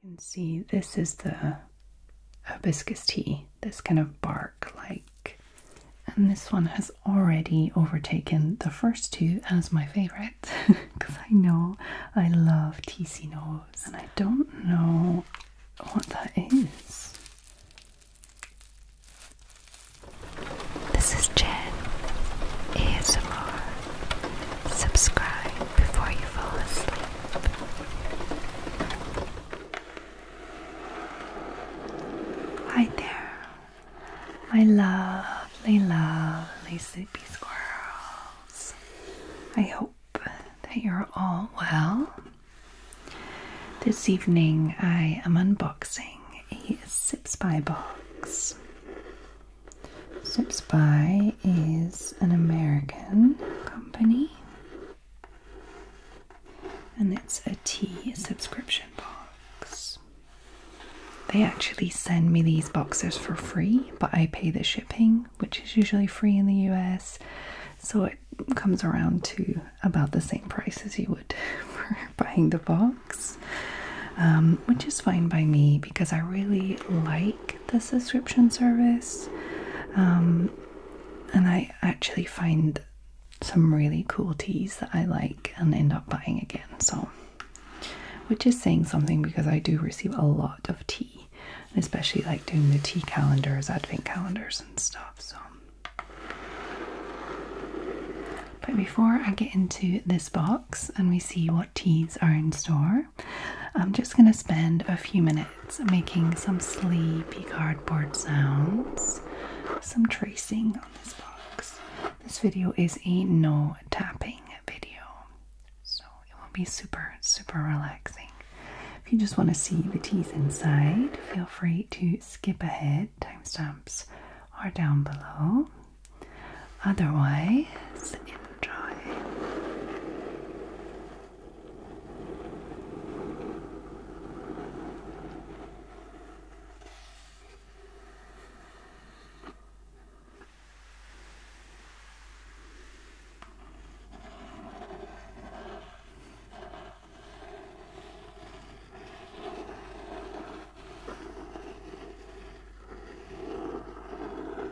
You can see this is the hibiscus tea, this kind of bark like, and this one has already overtaken the first two as my favorite because I know I love Tizinos and I don't know what that is. This is Jen ASMR Subscribe before you fall asleep. Hi there, my lovely, lovely sleepy squirrels. I hope that you're all well. This evening I am unboxing a Sip Spy box. Zip Spy is an American company and it's a tea subscription box. They actually send me these boxes for free, but I pay the shipping, which is usually free in the US, so it comes around to about the same price as you would for buying the box. Um, which is fine by me because I really like the subscription service. Um, and I actually find some really cool teas that I like and end up buying again. So, which is saying something because I do receive a lot of tea, especially like doing the tea calendars, advent calendars, and stuff. So, but before I get into this box and we see what teas are in store, I'm just going to spend a few minutes making some sleepy cardboard sounds, some tracing on this box. This video is a no tapping video, so it will be super, super relaxing. If you just want to see the teeth inside, feel free to skip ahead. Timestamps are down below. Otherwise, enjoy.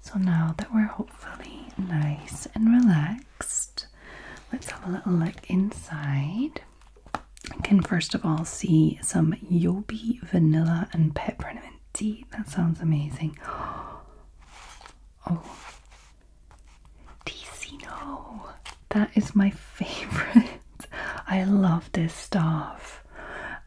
So now that we're hopefully nice and relaxed, let's have a little look inside. I can first of all see some Yobi vanilla and peppermint tea. That sounds amazing. Oh, Ticino. That is my favorite. I love this stuff.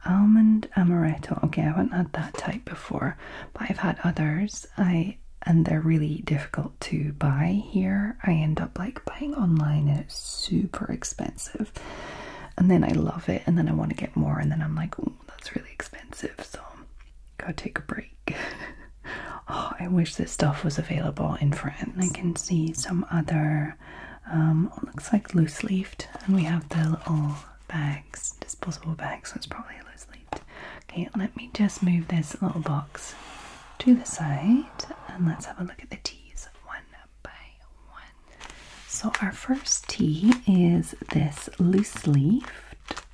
Almond amaretto. Okay, I haven't had that type before but I've had others. I and they're really difficult to buy here. I end up like buying online and it's super expensive. And then I love it and then I want to get more and then I'm like, oh, that's really expensive. So gotta take a break. oh, I wish this stuff was available in France. I can see some other um, looks like loose leaf, and we have the little bags, disposable bags, so it's probably a loose leaf. Okay, let me just move this little box to the side and let's have a look at the teas one by one. So, our first tea is this loose leaf.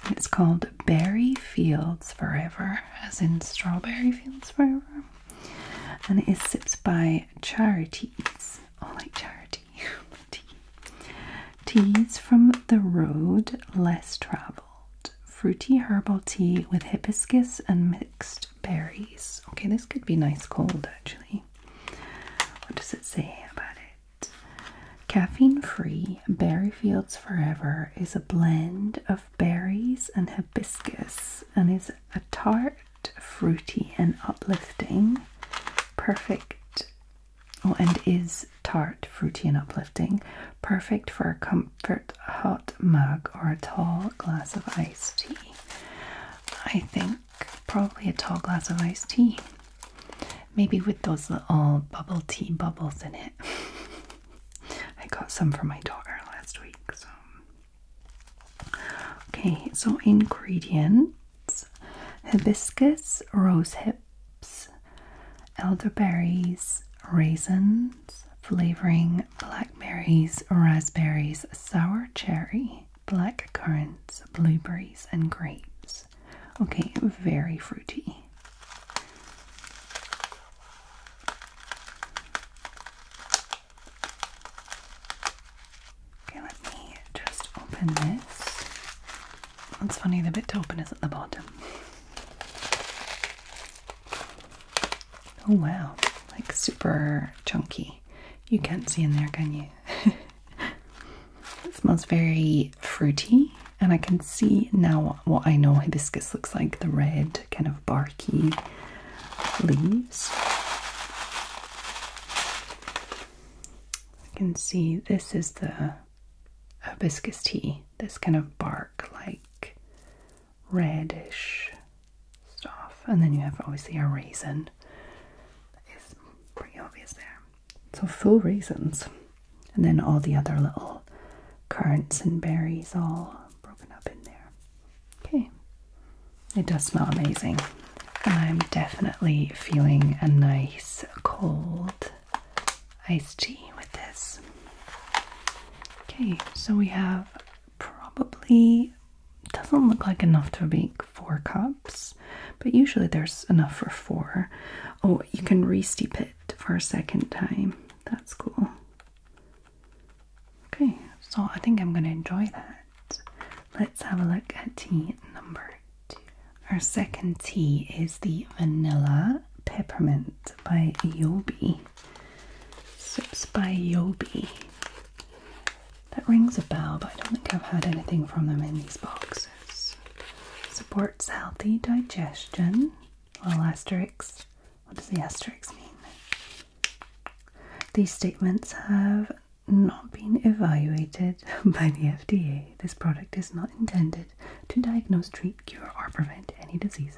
It's called Berry Fields Forever, as in Strawberry Fields Forever. And it is sipped by Charities. Oh, like charity tea, Teas from the road less traveled. Fruity herbal tea with hibiscus and mixed berries. Okay, this could be nice cold actually. What does it say about it? Caffeine free, Berry Fields Forever is a blend of berries and hibiscus and is a tart, fruity, and uplifting. Perfect Oh, and is tart, fruity, and uplifting, perfect for a comfort hot mug or a tall glass of iced tea. I think probably a tall glass of iced tea, maybe with those little bubble tea bubbles in it. I got some for my daughter last week, so okay, so ingredient hibiscus, rose hips, elderberries, raisins, flavoring blackberries, raspberries, sour cherry, black currants, blueberries, and grapes. Okay, very fruity. Okay, let me just open this. It's funny, the bit to open is at the bottom. Oh wow, like super chunky. You can't see in there, can you? it smells very fruity, and I can see now what I know hibiscus looks like the red, kind of barky leaves. You can see this is the hibiscus tea, this kind of bark like reddish stuff. And then you have obviously a raisin. It's pretty obvious there. So full raisins. And then all the other little currants and berries all broken up in there. Okay. It does smell amazing. I'm definitely feeling a nice cold iced tea with this. Okay, so we have probably doesn't look like enough to make four cups, but usually there's enough for four. Oh, you can re-steep it for a second time. That's cool. Okay, so I think I'm gonna enjoy that. Let's have a look at tea number two. Our second tea is the Vanilla Peppermint by Yobi. Sips by Yobi. That rings a bell, but I don't think I've had anything from them in these boxes. Supports healthy digestion. Well, asterisk. What does the asterisk mean? These statements have not being evaluated by the FDA. This product is not intended to diagnose, treat, cure, or prevent any diseases.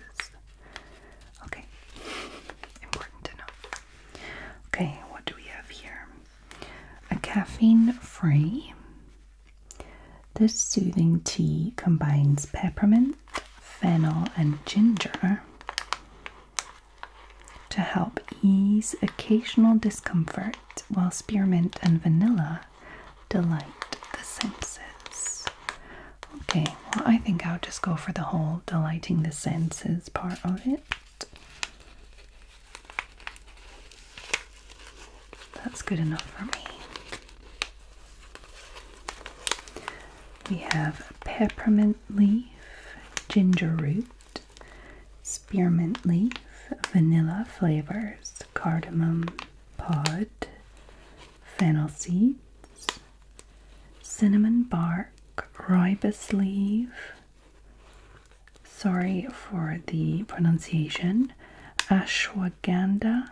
Okay, important to know. Okay, what do we have here? A caffeine free. This soothing tea combines peppermint, fennel, and ginger to help ease occasional discomfort, while spearmint and vanilla delight the senses. Okay, well, I think I'll just go for the whole delighting the senses part of it. That's good enough for me. We have peppermint leaf, ginger root, spearmint leaf, vanilla flavors, cardamom pod, fennel seeds, cinnamon bark, rooibos leaf. Sorry for the pronunciation. Ashwagandha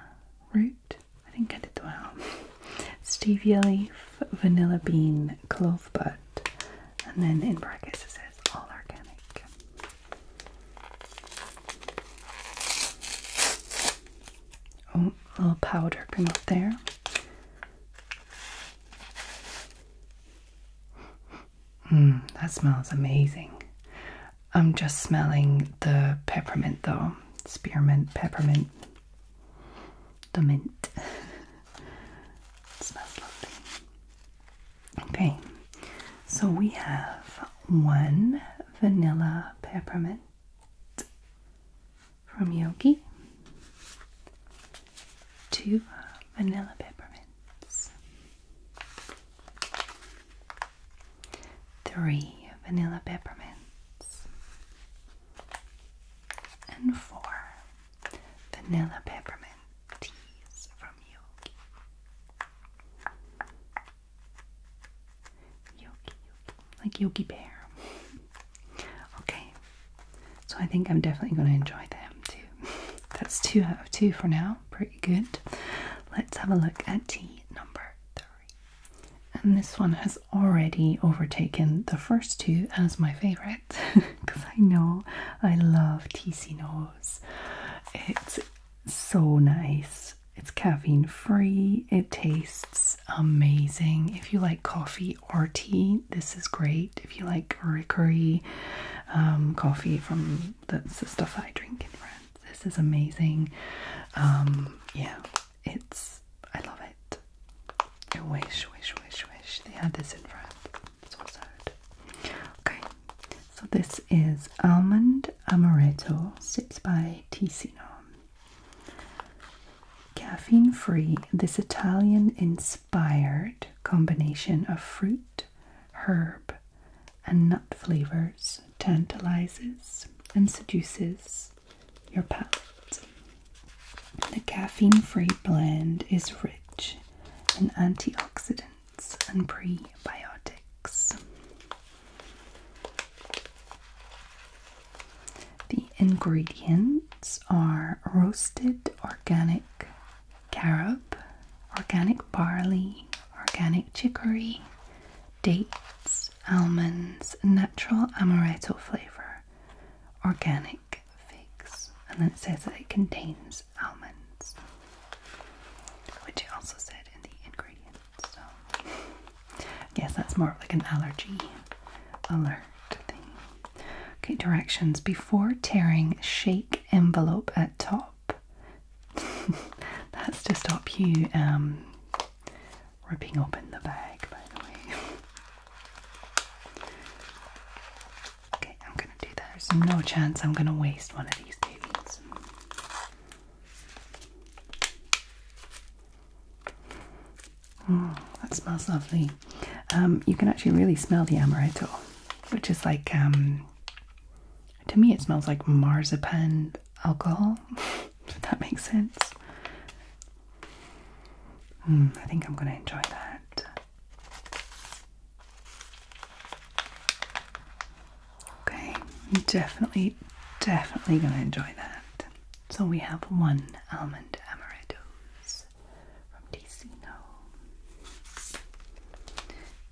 root. I think I did well. Stevia leaf, vanilla bean, clove bud, and then in brackets it says all organic. Oh, little powder coming up there. Mmm, that smells amazing. I'm just smelling the peppermint though. Spearmint, peppermint, the mint. Okay, so we have one vanilla peppermint from Yogi, two vanilla peppermints, three vanilla peppermints, and four vanilla peppermint teas from Yogi. Yogi, Yogi. Like Yogi Bear. okay. So I think I'm definitely going to enjoy them too. That's two out of two for now. Pretty good. Let's have a look at tea number three. And this one has already overtaken the first two as my favorite because I know I love Ticinos. It's so nice. It's caffeine free. It tastes amazing. If you like coffee or tea, this is great. If you like Rickery um, coffee from that's the stuff I drink in France, this is amazing. Um, yeah, it's I love it. And wish, wish, wish, wish. They had this in front. That's what I heard. Okay, so this is Almond Amaretto Sips by Ticino. Caffeine free, this Italian inspired combination of fruit, herb, and nut flavors tantalizes and seduces your palate. The caffeine free blend is rich in antioxidants and prebiotics. The ingredients are roasted organic carob, organic barley, organic chicory, dates, almonds, natural amaretto flavor, organic figs, and then it says that it contains almonds, which it also said in the ingredients. So, I guess that's more like an allergy alert thing. Okay, directions before tearing, shake envelope at top. that's to stop you um, ripping open the bag, by the way. Okay, I'm gonna do that. There's no chance I'm gonna waste one of these babies. Mm, that smells lovely. Um, you can actually really smell the amaretto, which is like, um, to me, it smells like marzipan alcohol. if that makes sense. Hmm, I think I'm going to enjoy that. Okay, definitely, definitely going to enjoy that. So we have one almond amarettos from Ticino,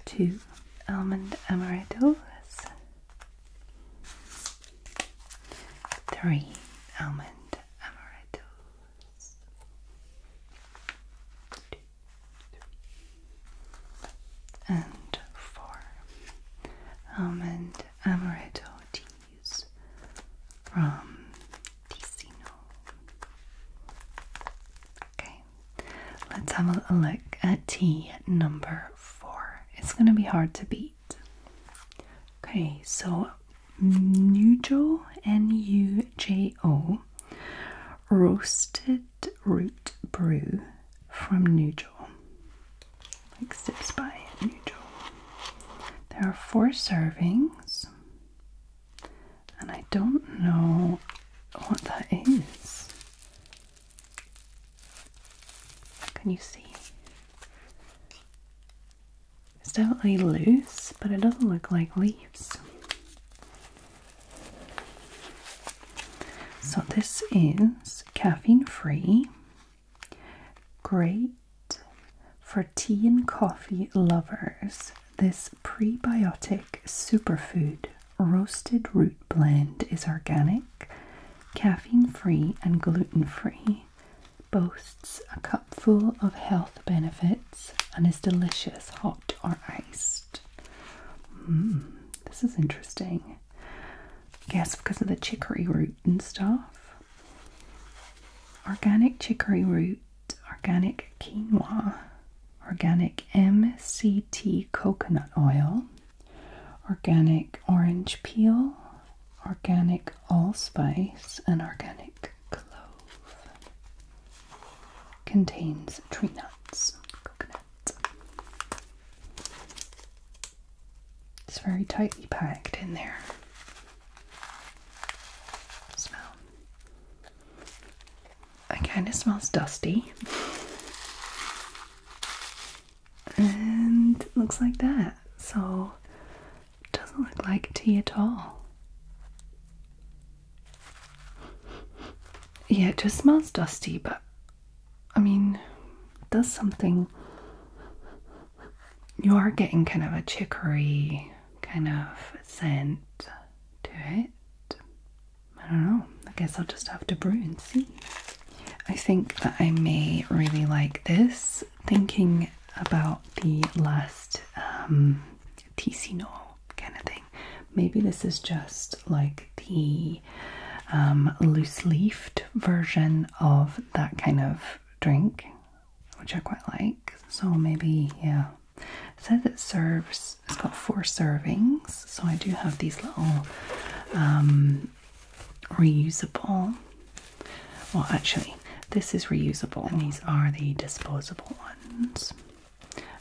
two almond amarettos, three almond amarettos. And four almond amaretto teas from Ticino. Okay, let's have a look at tea number four. It's going to be hard to beat. Okay, so Nujo, N U J O, roasted root brew from Nujo. Like by Nujo. There are four servings, and I don't know what that is. Can you see? It's definitely loose, but it doesn't look like leaves. So this is caffeine free. Great for tea and coffee lovers. This prebiotic superfood roasted root blend is organic, caffeine free, and gluten free boasts a cupful of health benefits and is delicious hot or iced. Mm, this is interesting. I guess because of the chicory root and stuff. Organic chicory root, organic quinoa, organic MCT coconut oil, organic orange peel, organic allspice and organic clove. Contains tree nuts, coconuts. It's very tightly packed in there. Smell. kind of smells dusty. And looks like that. So doesn't look like tea at all. Yeah, it just smells dusty, but I mean, it does something. You are getting kind of a chicory kind of scent to it. I don't know. I guess I'll just have to brew and see. I think that I may really like this thinking about the last um, kind of thing. Maybe this is just like the um, loose leafed version of that kind of drink, which I quite like. So maybe, yeah. It says it serves, it's got four servings. So I do have these little um, reusable. Well, actually, this is reusable, and these are the disposable ones.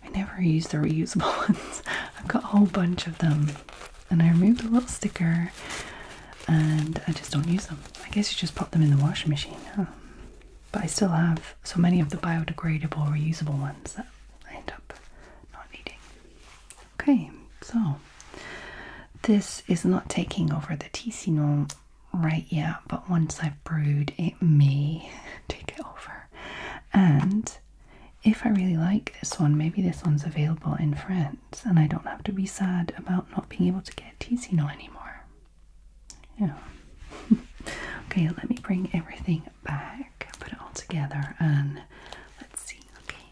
I never use the reusable ones. I've got a whole bunch of them, and I removed a little sticker, and I just don't use them. I guess you just pop them in the washing machine, But I still have so many of the biodegradable, reusable ones that I end up not needing. Okay, so this is not taking over the Ticino right yet, but once I've brewed, it may take it over. And if I really like this one, maybe this one's available in France, and I don't have to be sad about not being able to get Ticino anymore. Yeah. okay, let me bring everything back, put it all together, and let's see. Okay,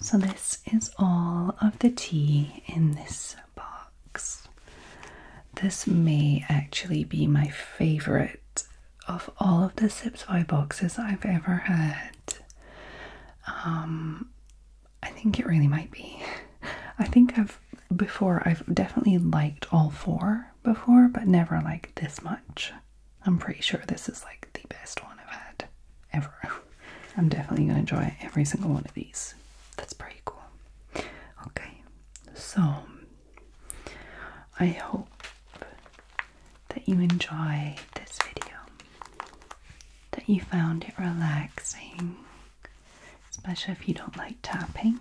so this is all of the tea in this box. This may actually be my favorite of all of the Sipsby boxes I've ever had. Um, I think it really might be. I think I've before I've definitely liked all four before, but never liked this much. I'm pretty sure this is like the best one I've had ever. I'm definitely gonna enjoy every single one of these. That's pretty cool. Okay, so I hope that you enjoy this video, that you found it relaxing, especially if you don't like tapping.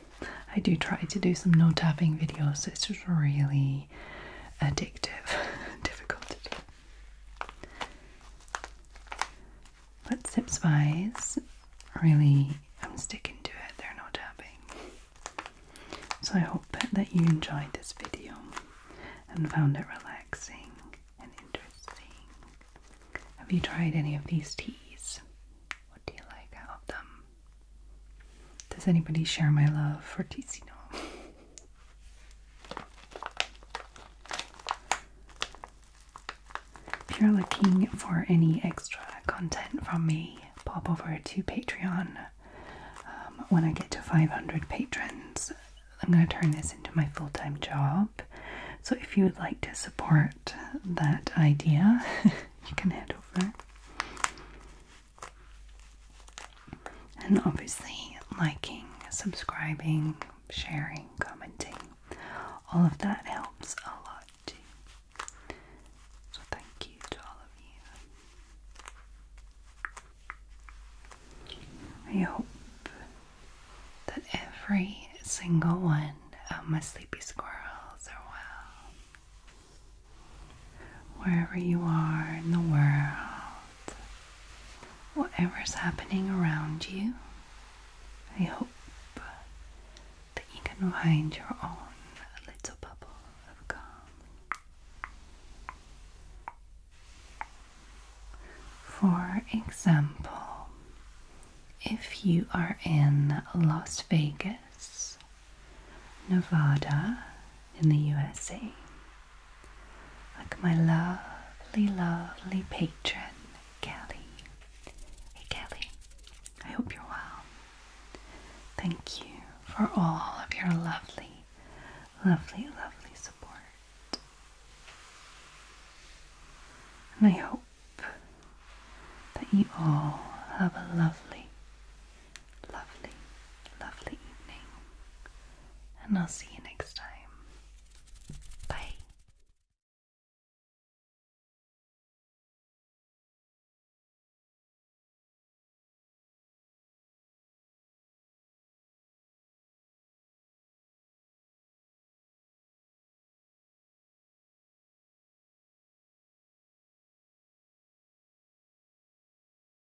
I do try to do some no tapping videos, it's really addictive, difficult but zips wise, really, I'm sticking to it, they're not tapping. So I hope that you enjoyed this video and found it relaxing and interesting. Have you tried any of these teas? What do you like out of them? Does anybody share my love for Ticino? If you're looking for any extra content from me, pop over to Patreon. Um, when I get to 500 patrons, I'm going to turn this into my full time job. So if you would like to support that idea, you can head over and obviously liking, subscribing, sharing, commenting. All of that helps a lot So thank you to all of you. I hope that every single one of my sleepy squirrels are well. Wherever you are in the world, whatever's happening around you, I hope that you can find your own little bubble of calm. For example, if you are in Las Vegas, Nevada, in the USA, like my lovely, lovely patron, Kelly. Hey, Kelly, I hope you're well. Thank you for all of your lovely, lovely, lovely support. And I hope that you all have a lovely, lovely, lovely evening, and I'll see you next time. Bye.